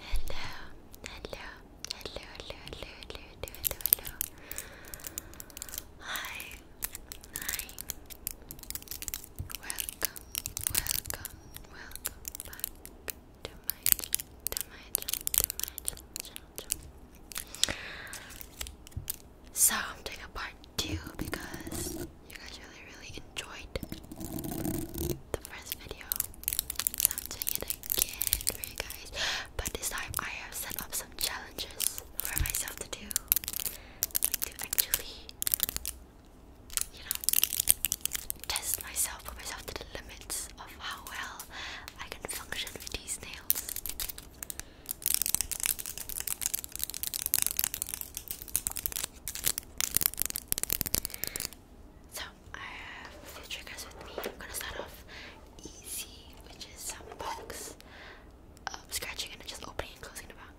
Hello, hello, hello, hello, hello, hello, hello, hello. Hi, hi. Welcome, welcome, welcome back to my to my to my channel. So I'm doing a part two because you guys really, really enjoyed the first video. So I'm doing it again for you guys. But this time I have set up some challenges for myself to do. to actually, you know, test myself, put myself to the limits of how well I can function with these nails. So I have a few triggers with me. I'm gonna start off easy, which is some box um, scratching and just opening and closing the box.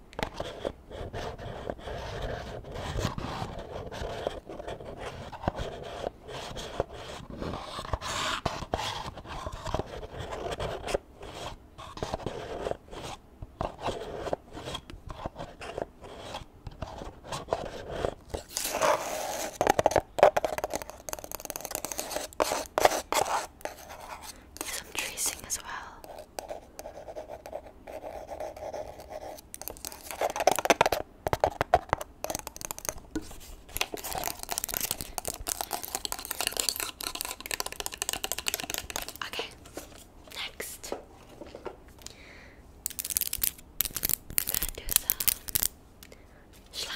Some tracing as well. Okay, next. I'm gonna do some slime.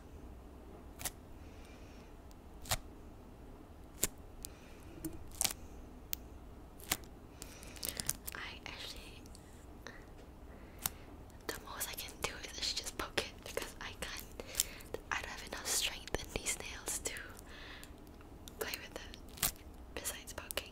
I actually, the most I can do is just poke it because I can't, I don't have enough strength in these nails to play with it besides poking.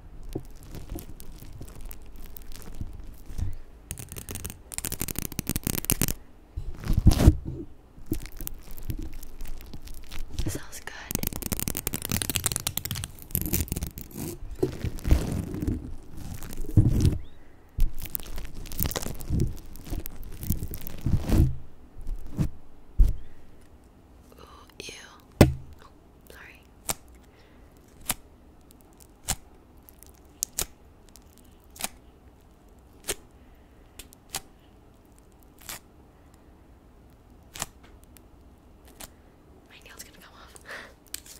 This sounds good. Ooh, ew. Oh, sorry. My nail's gonna come off.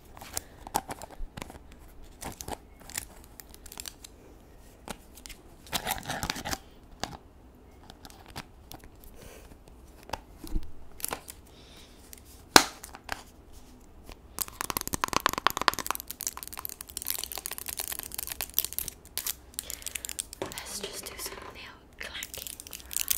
Let's just do some nail clacking for a while.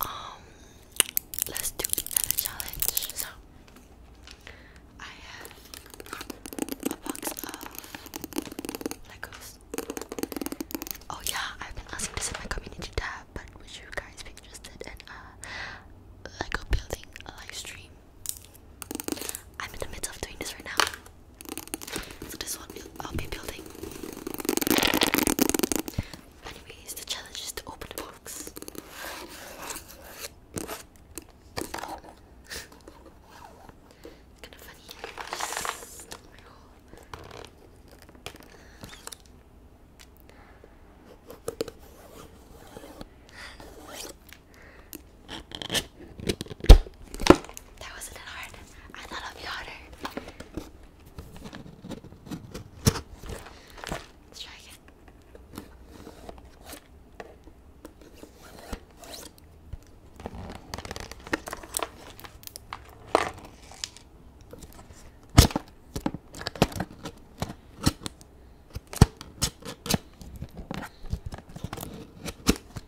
Um, let's do another challenge. So, I have a box of Legos. Oh yeah, I've been asking this in my community tab, but would you guys be interested in a Lego building live stream? I'm in the midst of doing this right now. So this one I'll be building. Anyways, the challenge is to open the box. kind of funny. That wasn't hard. I thought it'd be harder. Let's try again.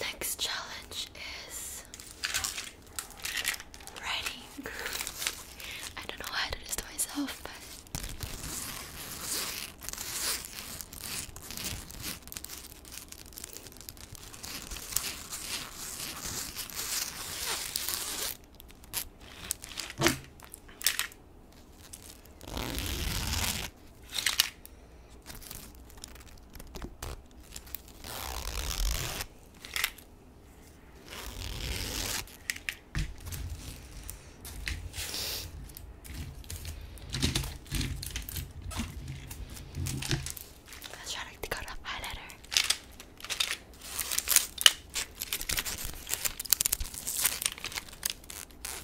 Next challenge is writing. I don't know how to do this to myself, but Let's try to go to highlighter.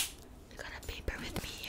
I got a paper with me here.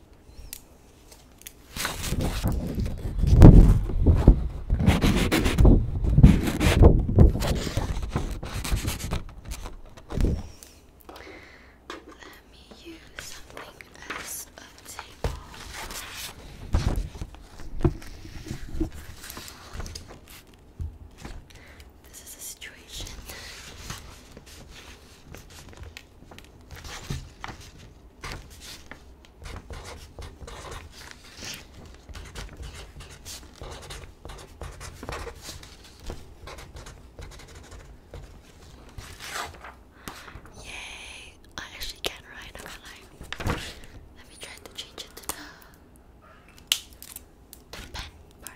Let me use something as a table. This is a situation. Yay! I actually can't write, I'm not lying. Let me try to change it to the pen part.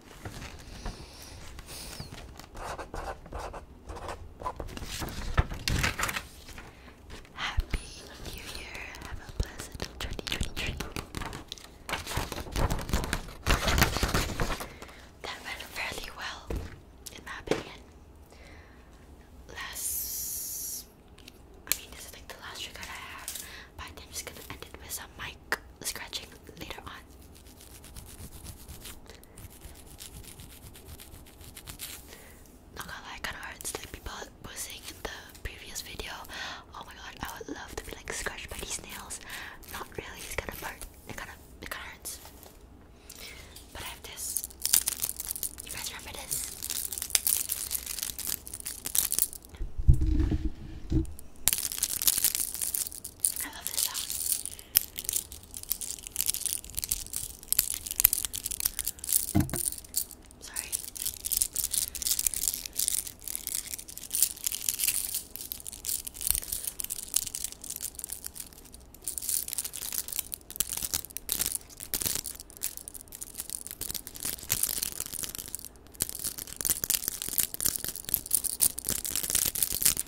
Happy New Year. Have a pleasant 2023. That went fairly well, in my opinion. Last. I mean, this is like the last trigger I have, but I I'm just gonna end it with some mic scratching later on. Not gonna kinda hurts like people were the previous video. Oh my god, I would love to be like scratched by these nails. Not really, it's kinda hurt. It kinda it kinda hurts. But I have this. You guys remember this? I love this song. Sorry.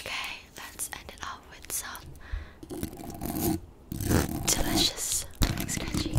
Okay, let's end it off with some delicious scratchy.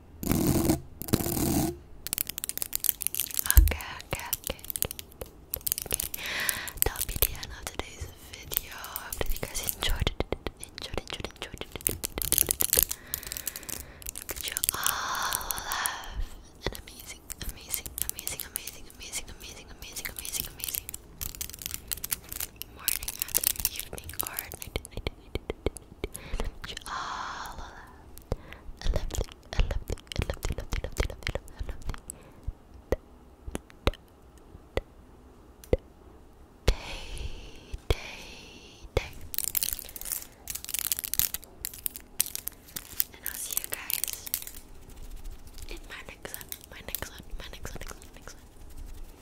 Okay, okay, okay, okay. That'll be the end of today's video. I hope you guys enjoyed it. Enjoyed, enjoyed, enjoyed it. You all have an amazing, amazing, amazing, amazing, amazing, amazing, amazing, amazing, amazing morning, afternoon, evening, or night, all of that. I love it. I love it. I love it. I love it. I love it. I love it. Day, day, day. And I'll see you guys in my next one. My next one. My next one. Next one. Next one.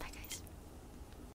Bye, guys.